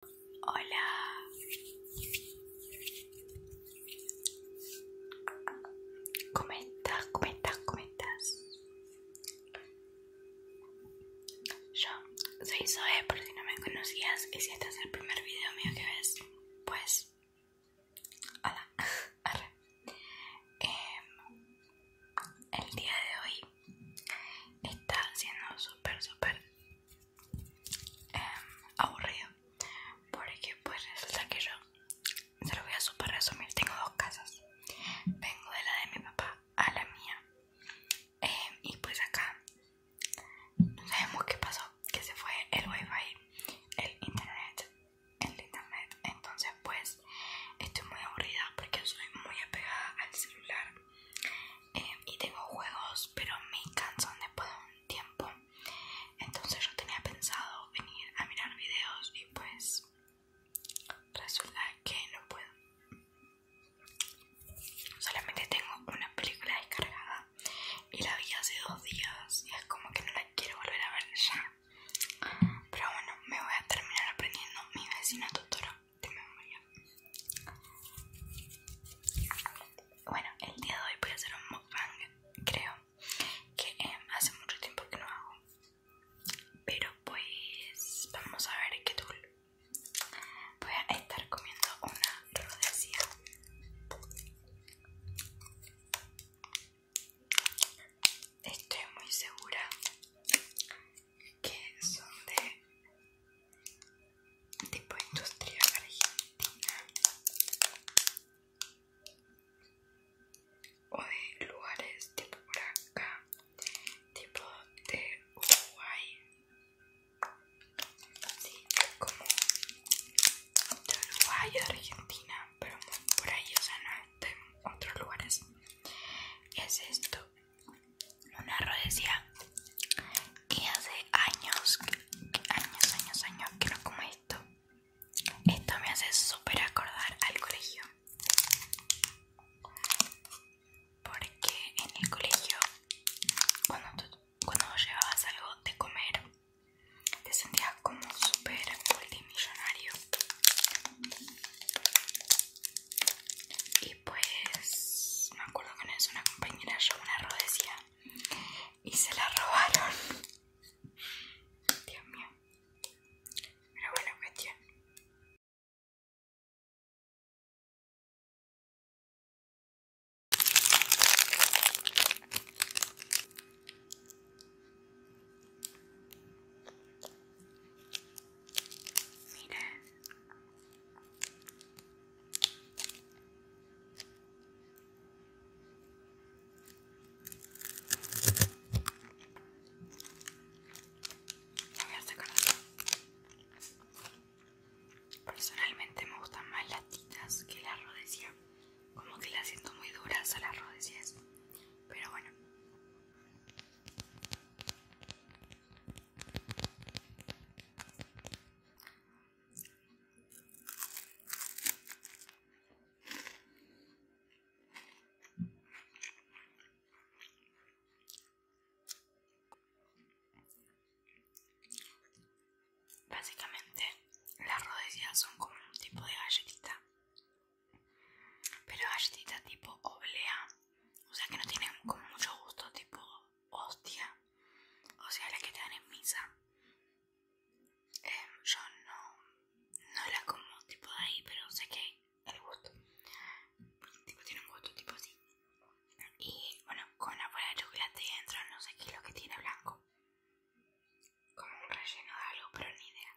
Hola. Comenta, comenta, comentas. Yo soy Zoe, por si no me conocías y si este es el primer video mío que ves, pues... Hola, em, el día de hoy está siendo súper, súper Em, aburrido porque pues resulta que yo se lo voy a super resumir tengo dos casas vengo de la de mi papá a la mía em, y pues acá no sabemos qué pasó que se fue el wifi el internet el internet entonces pues estoy muy aburrida porque soy muy apegada al celular eh, y tengo juegos pero me cansan después de un tiempo entonces yo tenía pensado venir a mirar videos y pues resulta que no puedo solamente tengo una película descargada y la vi hace dos días y es como que no la quiero volver a ver ya pero bueno me voy a terminar aprendiendo mi vecino doctora de memoria. Bueno, el día de hoy voy a hacer un mukbang, creo, que em, hace mucho tiempo que no hago. Pero pues vamos a ver qué tal. Voy a estar comiendo una rodecia. Estoy muy segura que son de tipo industria argentina o de lugares tipo por acá tipo de Uruguay sí, como de Uruguay de Argentina pero por ahí o sea no de otros lugares es esto una decía que hace años, años, años, años que no como esto. Esto me hace súper acordar al colegio. Porque en el colegio, cuando, cuando llevabas algo de comer, te sentías como súper multimillonario y pues me acuerdo que una una compañera llevó una rodecía y se la robaron Dios mío pero bueno cuestión mira Voy a Personalmente me gustan más las titas que la rodesia. Como que las siento muy duras a las rodillas Pero bueno. Básicamente las rodillas son como un tipo de galletita, pero galletita tipo oblea o sea que no tienen como mucho gusto tipo hostia o sea la que te dan en misa em, yo no la como tipo de ahí pero sé que el gusto tipo tiene un gusto tipo así y bueno con la bola de chocolate dentro no sé qué es lo que tiene blanco como un relleno de algo pero ni idea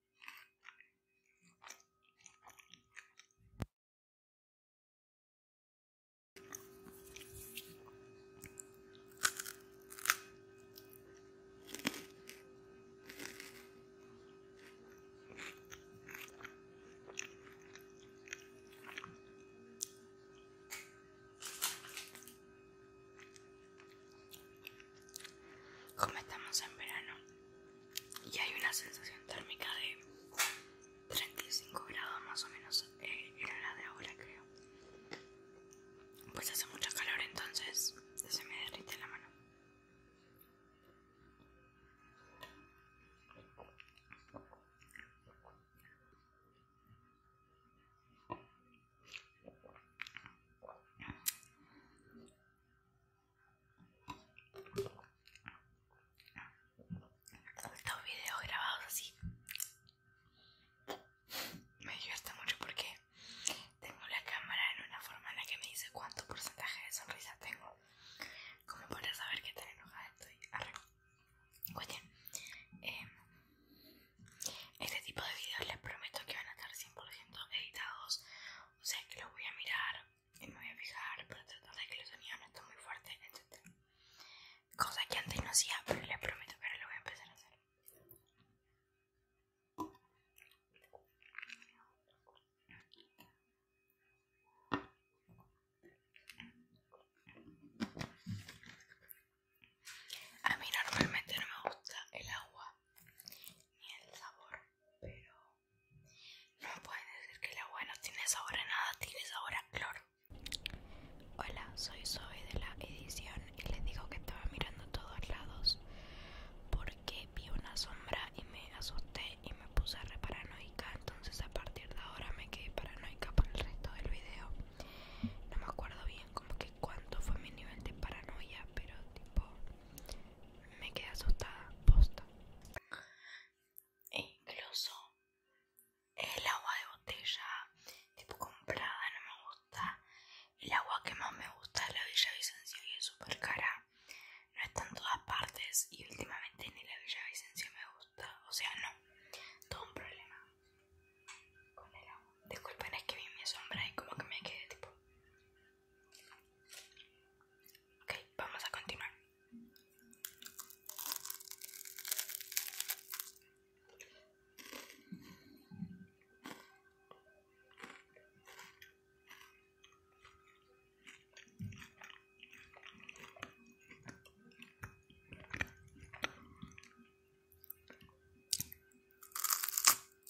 Como estamos en verano, y hay una sensación térmica de 35 grados más o menos en eh, la de ahora creo pues hace mucho calor entonces se me derrite la mano estos videos grabados así me gusta mucho porque tengo la cámara en una forma en la que me dice cuánto porcentaje de sonrisa tengo, como para saber Que tan enojada estoy. Oye em, este tipo de videos les prometo que van a estar 100% editados o sea que lo voy a mirar y me voy a fijar para tratar de que los sonidos no esté muy fuertes, etc. Cosa que antes no hacía, pero les prometo que ahora lo voy a empezar a hacer. A mí normalmente no me gusta el agua ni el sabor pero no pueden decir que la bueno no tiene sabor a nada, tiene sabor a cloro. Hola, soy Zoe de la edición y les digo que estaba mirando a todos lados porque vi una sombra y me asusté y me puse re paranoica, entonces a partir de ahora me quedé paranoica por el resto del video. No me acuerdo bien como que cuánto fue mi nivel de paranoia, pero tipo me quedé asustada, posta. E incluso el agua de botella, tipo comprada, no me gusta. El agua que más me gusta es la Villa Vicencio y es súper cara. No está en todas partes y últimamente ni la Villa me gusta. O sea, no. Todo un problema con el agua. Disculpen, es que vi mi sombra y como que me quedé tipo. Ok, vamos a continuar.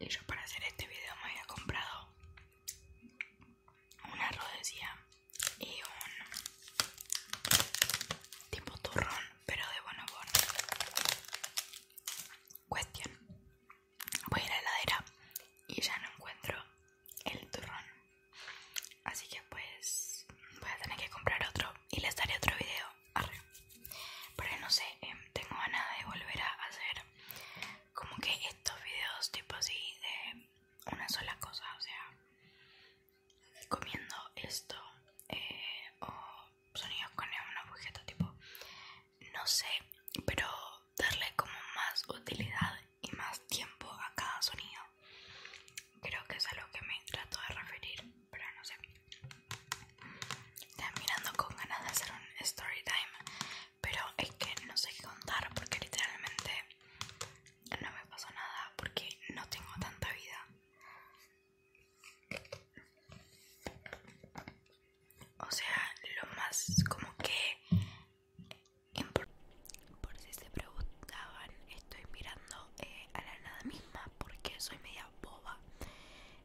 Y yo para hacer este video me había comprado una rodesía y un tipo turrón, pero de bonobón. Cuestión. Voy a la heladera y ya no encuentro el turrón así que pues voy a tener que comprar otro y les daré otro video arriba pero no sé em, tengo ganas de volver a hacer como que estos videos tipo así de una sola cosa o sea comiendo esto eh, o sonidos con una objeto tipo no sé pero darle como más utilidad y más tiempo a cada sonido. Creo que es a lo que me trato de referir, pero no sé. terminando mirando con ganas de hacer un story time, pero es que no sé qué contar porque literalmente no me pasó nada porque no tengo tanta vida. O sea, lo más como que por si se preguntaban, estoy mirando eh, a la nada misma porque soy media boba.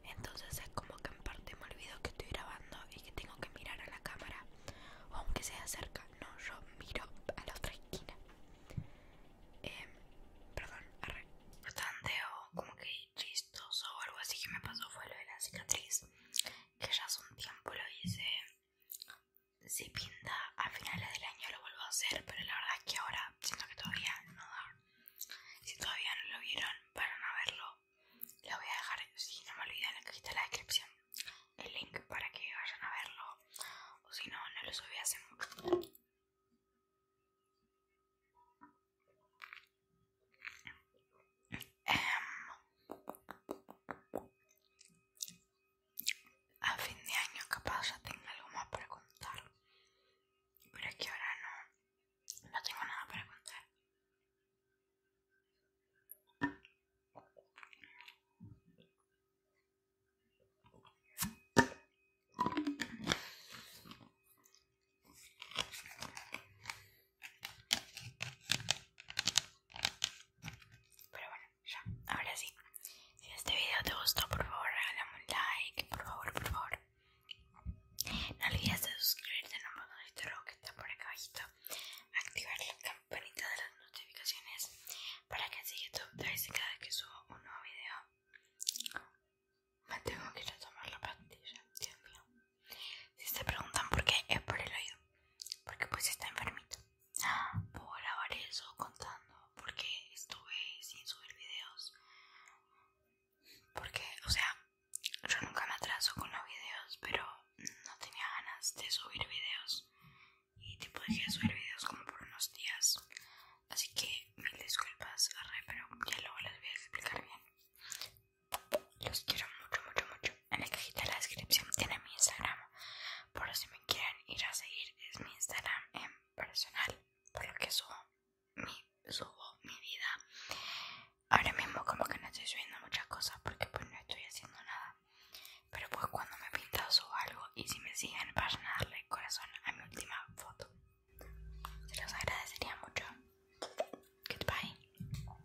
Entonces es como que en parte me olvido que estoy grabando y que tengo que mirar a la cámara. aunque sea cerca, no, yo miro a la otra esquina. Em, perdón, arre. Bastante o como que chistoso o algo así que me pasó fue lo de la cicatriz. Que ya hace un tiempo lo hice si pinta a finales del año lo vuelvo a hacer, pero la verdad es que ahora siento que todavía no da. Si todavía no lo vieron, para no verlo, les voy a dejar, si no me olviden, en la cajita de la descripción el link para que vayan a verlo, o si no, no lo subí a fin de año capaz ya tenga algo más para contar pero es que ahora no no tengo nada para contar pero bueno, ya, ahora sí. Si este video te gustó, por favor, regálame un like, por favor, por favor. No olvides de suscribirte de este rojo que está por acá abajito. Activar la campanita de las notificaciones para que sigas tu cada vez que subo un nuevo video. Me tengo que ir a tomar la pastilla, Dios mío. Si se preguntan por qué, es por el oído. Porque pues está enfermito. Puedo grabar eso contando porque estuve sin subir videos. Porque, o sea, yo nunca me atraso con los videos, pero no tenía ganas de subir videos. Y tipo dejé de subir videos como por unos días. Así que mil disculpas, re pero ya luego las voy a explicar bien. Los quiero mucho, mucho, mucho. En la cajita de la descripción tiene mi Instagram. Por si me quieren ir a seguir, es mi Instagram en personal. Por lo que subo mi, subo mi vida. Ahora mismo, como que no estoy subiendo muchas cosas porque pues no estoy haciendo nada. Pero pues cuando me pintado subo algo. Y si me siguen, vayan a darle corazón a mi última foto. Se los agradecería mucho. Goodbye.